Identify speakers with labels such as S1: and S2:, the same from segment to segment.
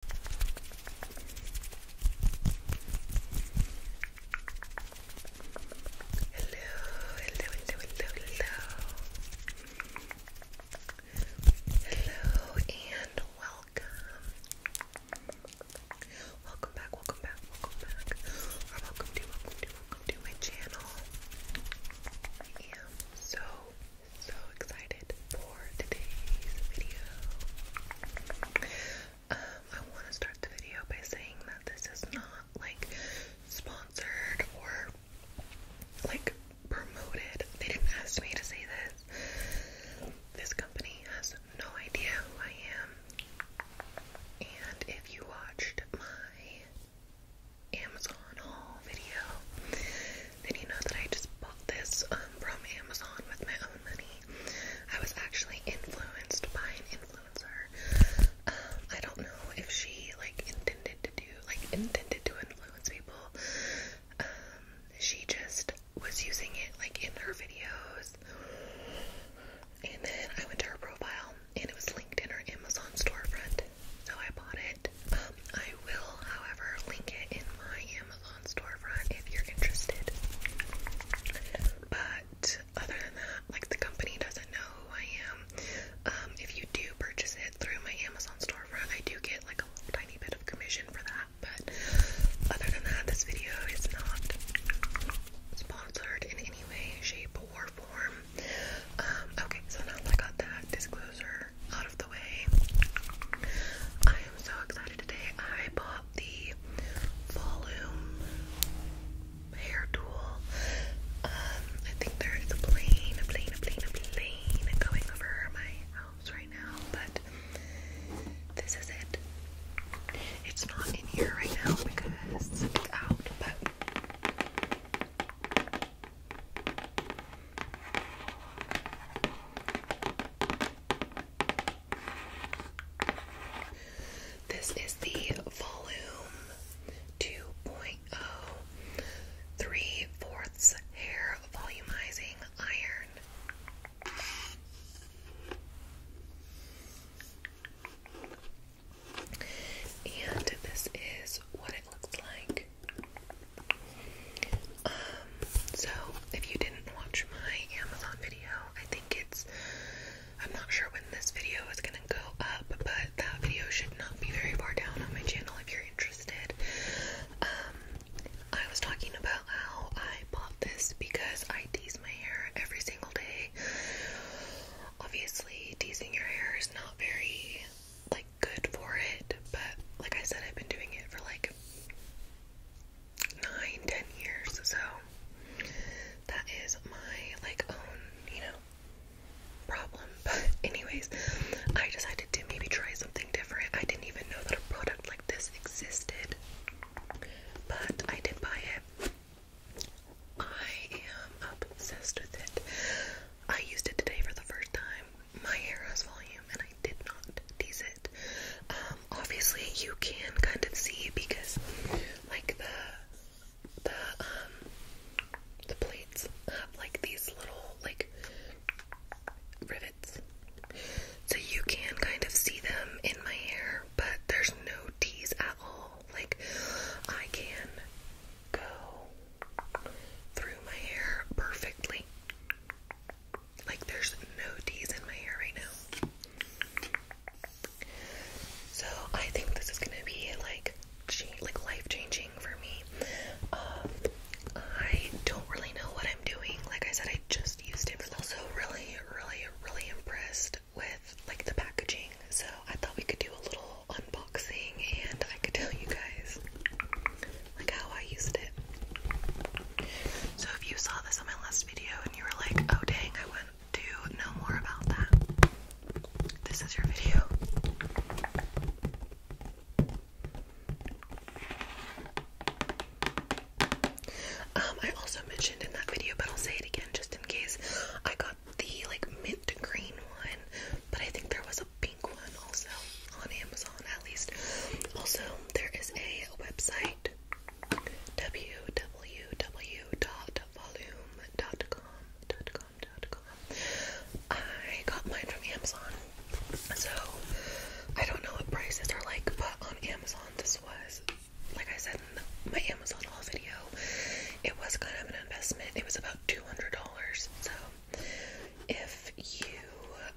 S1: hello, hello, hello. Hello and welcome. Welcome back, welcome back, welcome back. Or welcome to welcome to welcome to my channel. I am so so excited for today's video. Um, I want to start the video by saying that this is not like sponsored or like promoted. They didn't ask me to say this. This company has no idea who I am. And if you watched my Amazon haul video, then you know that I just bought this um, from Amazon with my own money. I was actually influenced by an influencer. Um, I don't know if she like intended to do like intended to influence people. Um, she just was using it like in her videos. And then I went to her profile and it was linked in her Amazon storefront. So I bought it. Um, I will, however, link it in my storefront if you're interested. But other than that, like the company doesn't know who I am. Um, if you do purchase it through my Amazon storefront, I do get like a tiny bit of commission for that. But other than that, this video is not sponsored in any way, shape, or form. Um, okay, so now I got that disclosure out of the way. I am so excited today. I bought the volume hair tool. Um, I think there is a plane, a plane, a plane, a plane going over my house right now, but this is it. It's not in here right now because it's out, but this is the volume 2.0 3 fourths hair volumizing iron. And this is what it looks like. Um, so if you didn't watch my Amazon video, I think it's I'm not sure when this video is gonna go up, but that video should not be very far down on my channel if you're interested. Um, I was talking about how I bought this because I tease my hair every single day. Obviously, teasing your hair is not very like good for it, but like I said, I've been doing it for like nine, ten years. So that is my like own, you know, problem. But anyways, I decided to maybe try something different. I didn't even know that a product like this existed, but I did buy it. I am obsessed with it. I used it today for the first time my hair has volume and I did not tease it. Um, obviously you can kind of see because like the the um the plates have like these little like rivets. So you can kind of see them in my hair, but there's no tease at all. Like I can go through my hair perfectly. Like there's no D's in my hair right now. So I think this is gonna be like like life changing for me. Um, I don't really know what I'm doing. Like I said, I just used it. I was also really, really, really impressed with like the packaging. So I thought we could do a little unboxing and I could tell you guys like how I used it. So if you saw this on my last video and you were like, oh dang, I want to know more about that, this is your video. Um, I also mentioned in that video, but I'll say it again just in case. I got the like mint green one, but I think there was a pink one also on Amazon at least. Also, there is a website www.volume.com. I got mine from Amazon, so I don't know what prices are like, but on Amazon, this was like I said in my Amazon haul video, it was kind of an investment, it was about $200. So, if you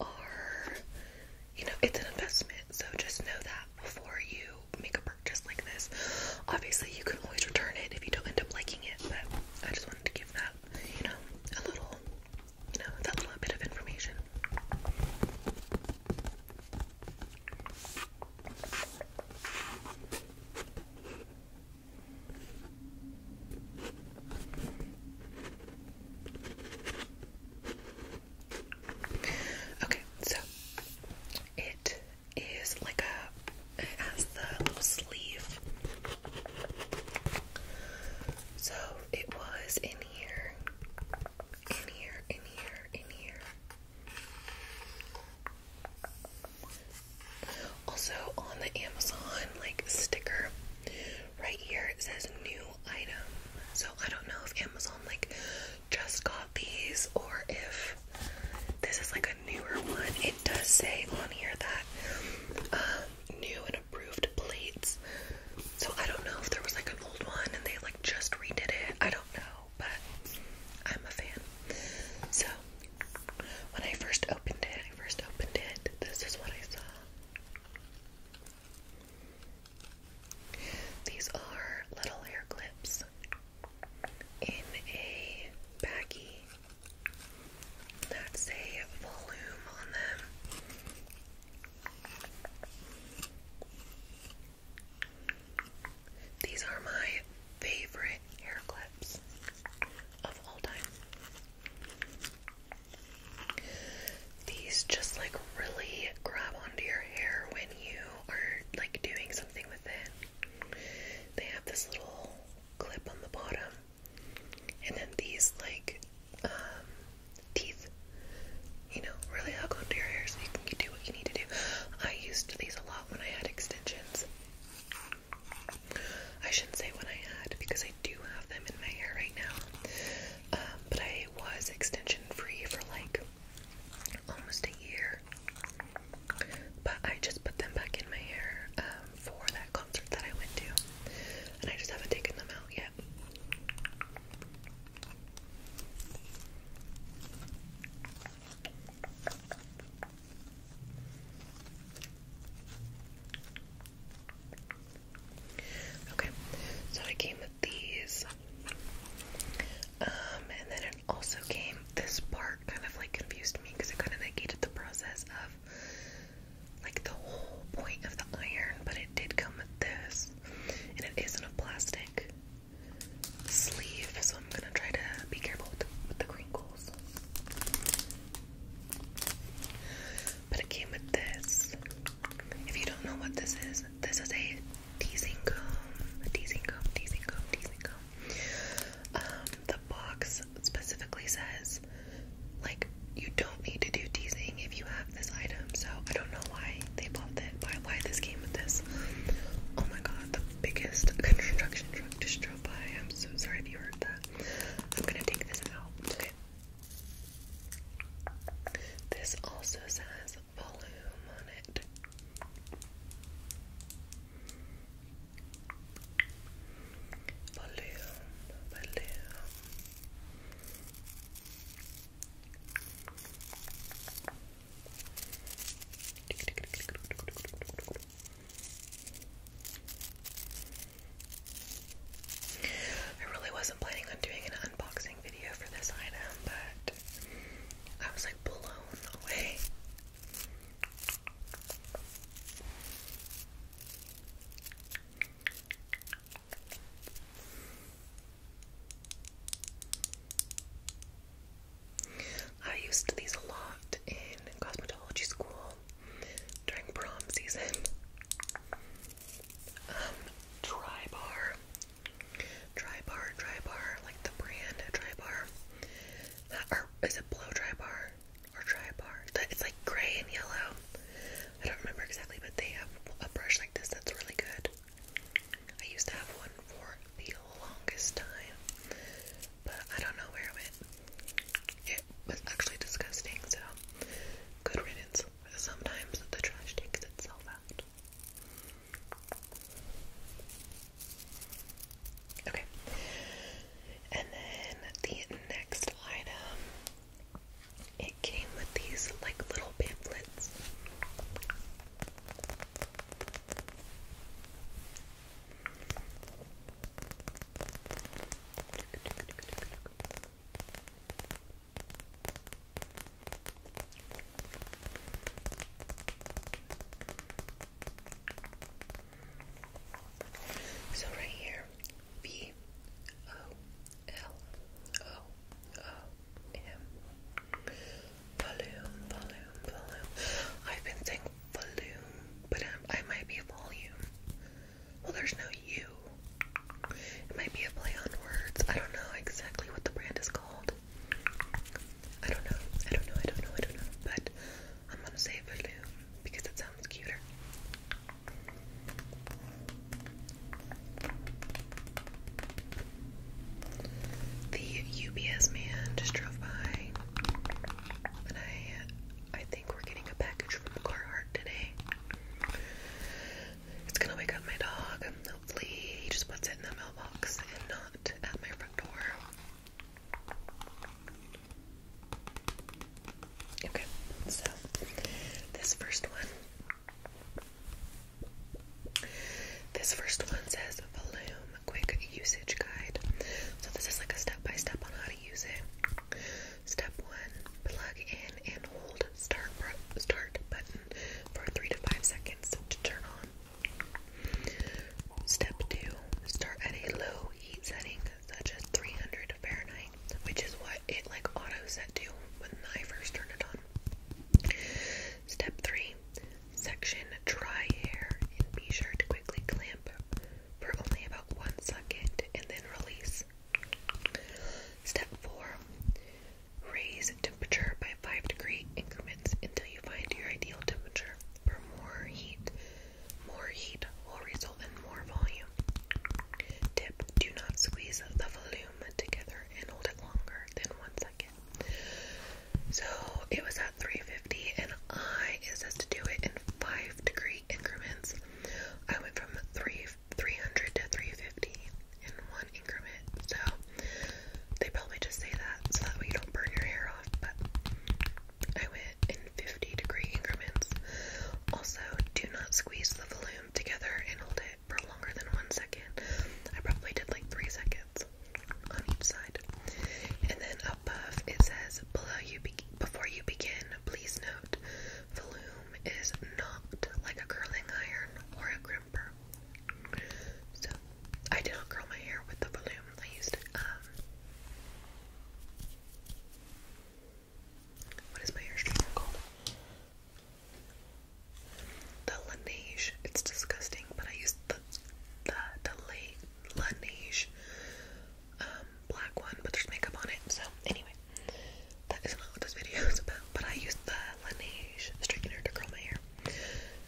S1: are you know, it's an investment. So just know that before you make a purchase like this. Obviously, you can always return it if you don't end up liking it, but I just wanted to give that, you know, a little, you know, that little bit of information. Okay, so it is like a, it the little sleeve. So it was in here, in here, in here, in here. Also on the Amazon like sticker right here it says new item. So I don't know if Amazon like just got these or if this is like a newer one. It does say on here that uh, new and approved plates. So I don't know if there was like an old one and they like just redid it. I don't know, but I'm a fan. So when I first opened it, I first opened it. This is what I saw. These are little hair clips in a baggie that say volume on them. These are my favorite hair clips of all time. These just like really grab onto your hair when you are like doing something with it. They have this little clip on the bottom, and then these like um, teeth, you know, really hug onto your hair so you can do what you need to do. I used these a lot when I had extensions. I shouldn't say when I had because I do have them in my hair right now. Um, but I was extension free for like almost a year. But I just put them back in my hair um, for that concert that I went to. And I just haven't taken them out yet. Okay, so I came with these, um, and then it also came. This part kind of like confused me because it kind of negated the process of like the whole point of the iron, but it did come with this, and it isn't a plastic sleeve, so I'm gonna try to be careful with the, with the crinkles. But it came with this. If you don't know what this is, this is a teasing comb. A teasing comb, teasing comb, teasing comb. Um, the box specifically says, like, you don't need to do teasing if you have this item. So I don't know why they bought it. why, why this came with this. Oh my god, the biggest construction truck just drove by. I'm so sorry if you heard that. I'm gonna take this out. Okay. This also says volume on it. Volume, volume. I really wasn't planning on doing an unboxing unboxing video for this item, but I was like blown away. I used these a lot in cosmetology school during prom season um dry bar dry bar dry bar like the brand dry bar is it blow dry bar or dry bar it's like gray and yellow I don't remember exactly but they have a brush like this that's really good I used to have one for the longest time but I don't know where it went it was actually disgusting so good riddance sometimes the trash takes itself out. Okay. And then the next item, it came with these like little pamphlets. So right here, B O L O O M volume, volume, volume. I've been saying volume, but I'm, I might be volume. Well, there's no U. It might be a play on words. I don't know exactly what the brand is called. I don't know. I don't know. I don't know. I don't know. But I'm gonna say Veloom because it sounds cuter. The UBS man just drove by, and I, I think we're getting a package from Carhartt today. It's gonna wake up my dog. Hopefully, he just puts it in the mailbox and not at my front door. Okay, so this first one. This first one says Volume Quick Usage Guide. So this is like a step-by-step -step on how to use it. Step one, plug in and hold start start button for three to five seconds to turn on. Step two, start at a low heat setting, such as 300 Fahrenheit, which is what it like auto set to when I first turn it on. Step three, section dry hair and be sure to quickly clamp for only about one second and then release. Step four, Raise temperature by 5 degree increments until you find your ideal temperature. For more heat, more heat will result in more volume. Tip, do not squeeze the volume together and hold it longer than one second. So it was at 350 and I, is says to do it in 5 degree increments. I went from 3 300 to 350 in one increment. So they probably just say that so that way you don't burn your hair off. But I went in 50 degree increments. Also, do not squeeze the volume together and hold it for longer than one second. I probably did like three seconds on each side. And then above it says below you be before you begin, please note volume is not like a curling iron or a crimper. So I did not curl my hair with the balloon. I used um, what is my hair straightener called? The Laneige. It's disgusting, but I used the the the La um, black one, but there's makeup on it. So anyway that is not what this video is about, but I used the Laneige straightener to curl my hair.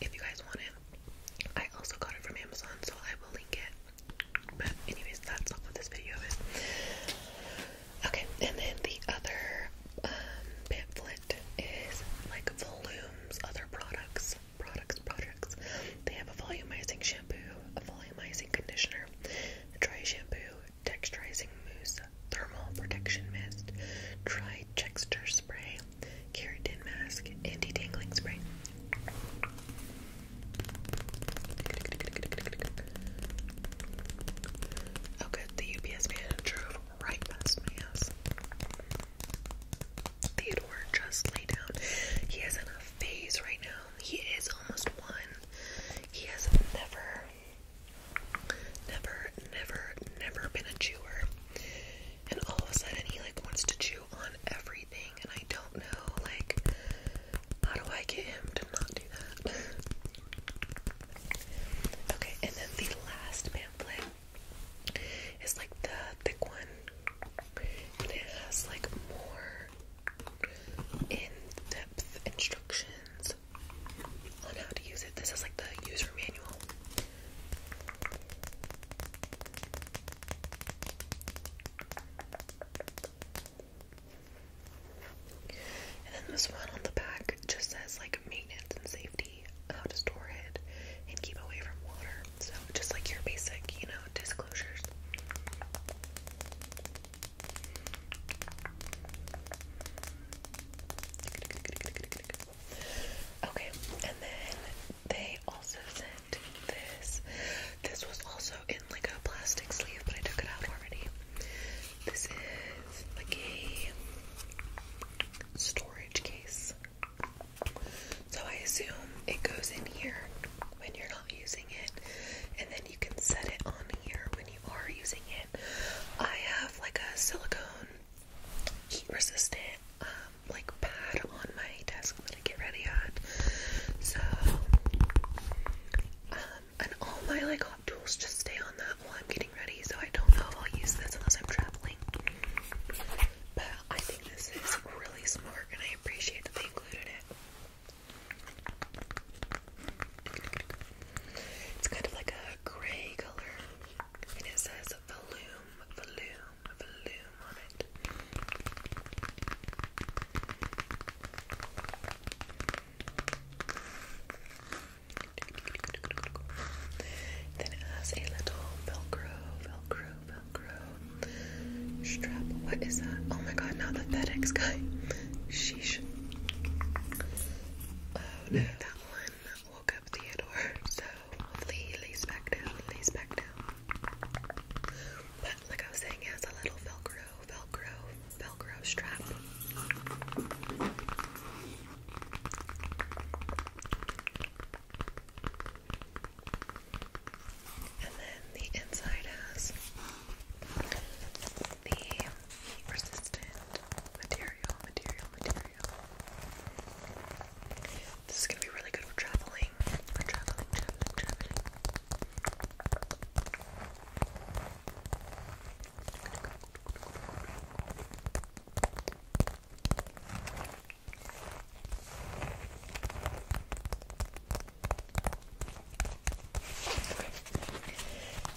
S1: If you guys want it, I also got it from Amazon, so I will link it. But anyways, that's not what this video is. Okay, and then the other um, pamphlet is like Volume's other products, products, products. They have a volumizing shampoo, a volumizing conditioner, a dry shampoo, texturizing mousse, thermal protection mist, dry texture spray, keratin mask, anti detangling spray. Oh good, the UPS man drove right past my house. Theodore just lay down. He is in a phase right now. He is almost one. He has never Never, never, never been a chewer. And all of a sudden he like wants to chew on everything and I don't know like how do I get him to not do that? okay, and then the last pamphlet is like the thick one. And it has like more in-depth instructions on how to use it. This is like the user manual. And then this one on the back just says like maintenance and safety, how to store it and keep away from water. So just like your basic, you know, disclosures. Okay, and then they also sent this. This was also in like a plastic sleeve, but I took it out already. This is like a storage case. So I assume it goes in here when you're not using it, and then you can set it on here when you are using it. I have like a silicone heat resistant um, like pad on my desk that I get ready on. So um, and all my like tools just stay on that while I'm getting ready, so I don't know if I'll use this unless I'm traveling. But I think this is really smart and I appreciate that they included it. It's kind of like a gray color, and it says volume, volume, volume Then it has a little velcro, velcro, velcro strap. What is that? Oh my god, not the FedEx guy. Sheesh. Uh, that one woke up Theodore, so hopefully he lays back down, lays back down. But like I was saying, he has a little Velcro, Velcro, Velcro strap. And then the inside has the heat resistant material, material, material. This is gonna be really good for traveling. For traveling, traveling, traveling.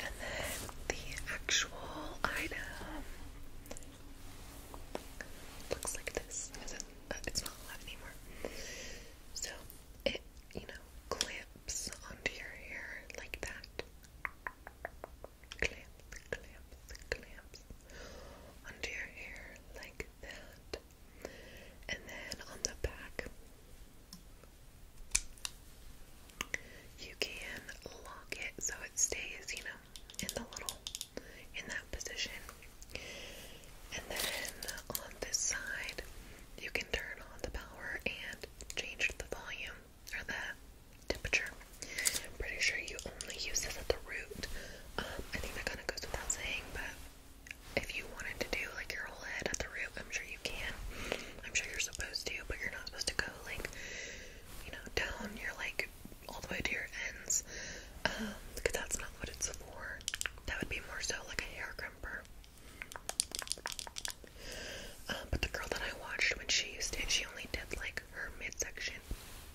S1: And then the actual usual item. Looks like this. Is it, uh, it's not alive anymore. So it, you know, clamps onto your hair like that. Clamps, clamps, clamps onto your hair like that. And then on the back, you can lock it so it stays, you know, in the little, in that position. And then on this side, you can turn on the power and change the volume or the temperature. I'm pretty sure you only use this at the root. Um, I think that kind of goes without saying, but if you wanted to do like your whole head at the root, I'm sure you can. I'm sure you're supposed to, but you're not supposed to go like, you know, down. your like all the way to your ends, um, because that's not what it's for. That would be more so like a hair crimper. Um, but the girl that I watched when she used it, she only did like her midsection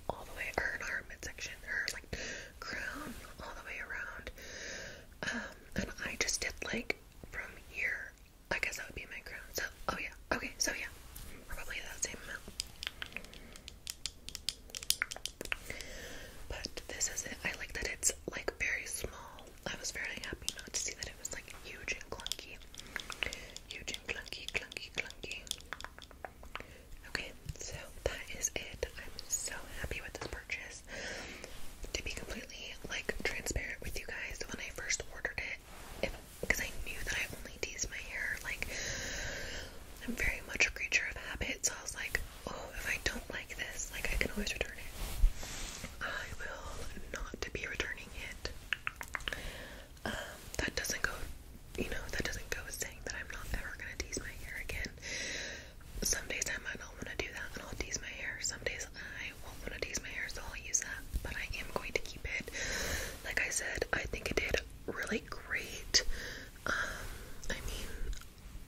S1: all the way, or not her midsection, her like crown all the way around. Um, and I just did like from here I guess that would be my crown. So, oh yeah, okay, so yeah, probably that same amount. But this is it. I like that it's like very small. I was very happy not to see that it was like huge and clunky. Huge and clunky, clunky, clunky. Okay, so that is it. I'm so happy with this purchase. To be completely like transparent with you guys, when I first ordered it, because I knew that I only teased my hair. Like I'm very much a creature of habit, so I was like, oh, if I don't like this, like I can always return it. I will not be returning it. Um, that doesn't go, you know, that doesn't go with saying that I'm not ever gonna tease my hair again. Some days I might not want to do that, and I'll tease my hair. Some days I won't want to tease my hair, so I'll use that, but I am going to keep it. Like I said, I think it did really great. Um, I mean,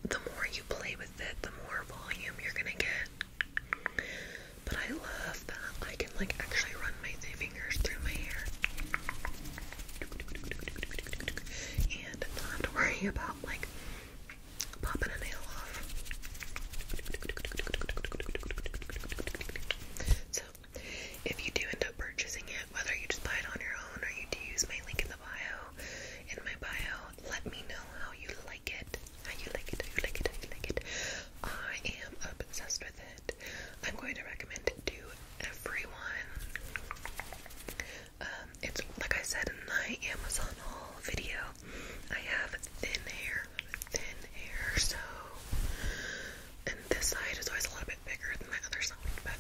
S1: the more you play with it, the more volume you're gonna get. But I love that I can like actually run my fingers through my hair. And not have to worry about like popping a nail off. So, if you do end up purchasing it, whether you just buy it on your own or you do use my link in the bio, in my bio, let me know how you like it. How you like it, how you like it, how you like it. I am obsessed with it. I'm going to recommend it to everyone. Um, it's like I said in my Amazon haul video, I have thin hair thin hair, so and this side is always a little bit bigger than the other side, but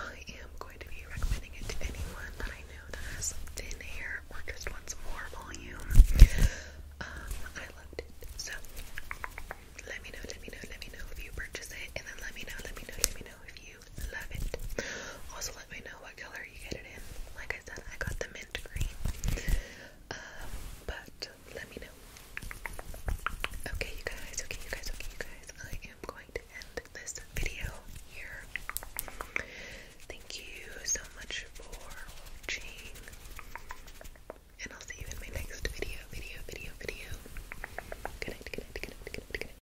S1: I am going to be recommending it to anyone that I know that has thin hair or just wants more volume. Um, I loved it. So let me know, let me know, let me know if you purchase it, and then let me know, let me know, let me know if you also, let me know what color you get it in. Like I said, I got the mint green. Uh, but let me know. Okay, you guys, okay, you guys, okay, you guys. I am going to end this video here. Thank you so much for watching. And I'll see you in my next video, video, video, video. Good night, good night,